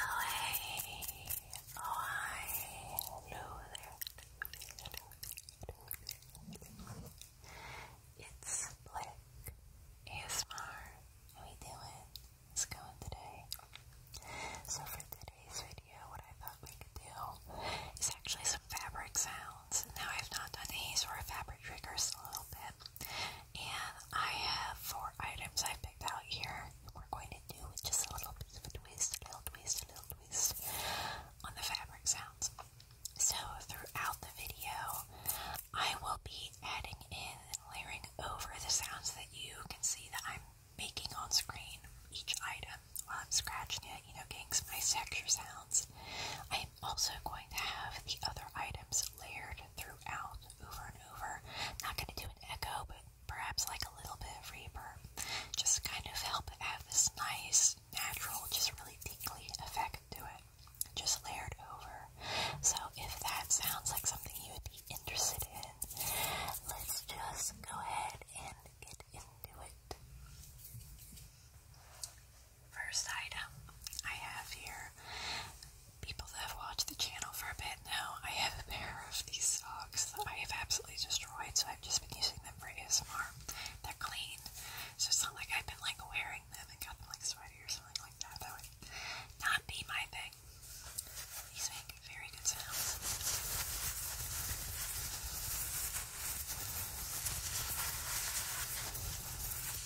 Oh hey, oh hi, hello there. It's Blick ASMR. How we doing? It's going today. So for today's video, what I thought we could do is actually some fabric sounds. Now I've not done these or fabric triggers a little bit. And I have four items I picked out here. We're going to do with just a little bit of a twist, a little twist, a little twist on the fabric sounds. So throughout the video, I will be adding in and layering over the sounds that you can see that I'm making on screen each item while I'm scratching it, you know, getting my texture sounds. I am also going to have the other items layered throughout over and over. Not going to do an echo, but perhaps like a little bit of reverb. Just kind of help add this nice, natural, just really tingly effect to it. Just layered over. So if that sounds like something you would be interested in, let's just go ahead and get into it. First item I have here people that have watched the channel for a bit know, I have a pair of these socks that I have absolutely destroyed, so I've just been using them for ASMR. They're clean, so it's not like I've been like wearing them and got them like sweaty or something like that. That would not be my thing. These make very good sounds.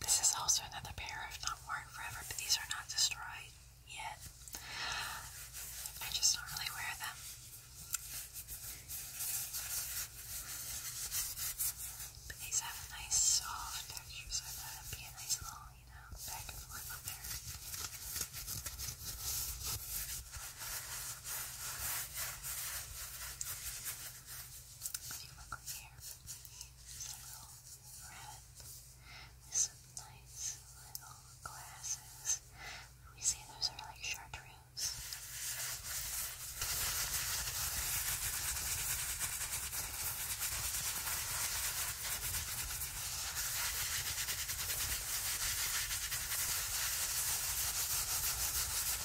This is also another pair of not worn forever, but these are not destroyed yet. I just don't really wear them. But these have a nice soft texture, so I thought it'd be a nice little, you know, back and forth up there. If you look right here, there's a little red with some nice little glasses. We say those are like chartreuse. Now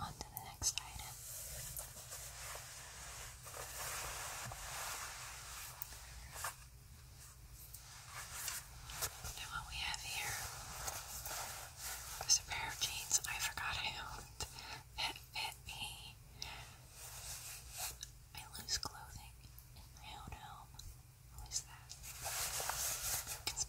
On to the next item. Now, what we have here is a pair of jeans I forgot I owned that fit me. I lose clothing in my own home. What is that?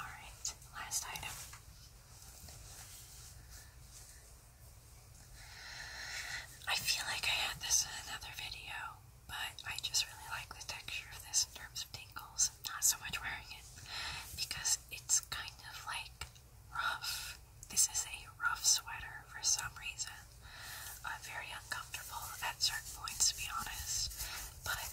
All right, last item. I feel like I had this in another video, but I just really like the texture of this in terms of tangles. i not so much wearing it because it's kind of like rough. This is a rough sweater for some reason. Uh, very uncomfortable at certain points, to be honest, but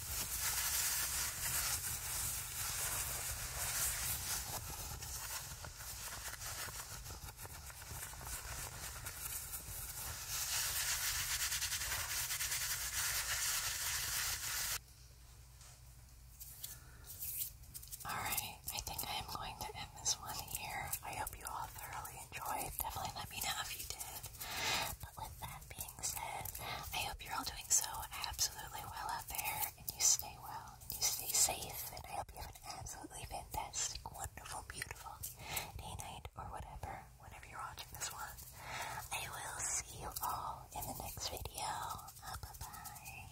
All right, I think I am going to end this one here. I hope you all thoroughly enjoyed. Definitely let me know if you did. But with that, being said, I hope you're all doing so absolutely well out there, and you stay well, and you stay safe, and I hope you have an absolutely fantastic, wonderful, beautiful day, night, or whatever, whenever you're watching this one. I will see you all in the next video. Uh, bye bye.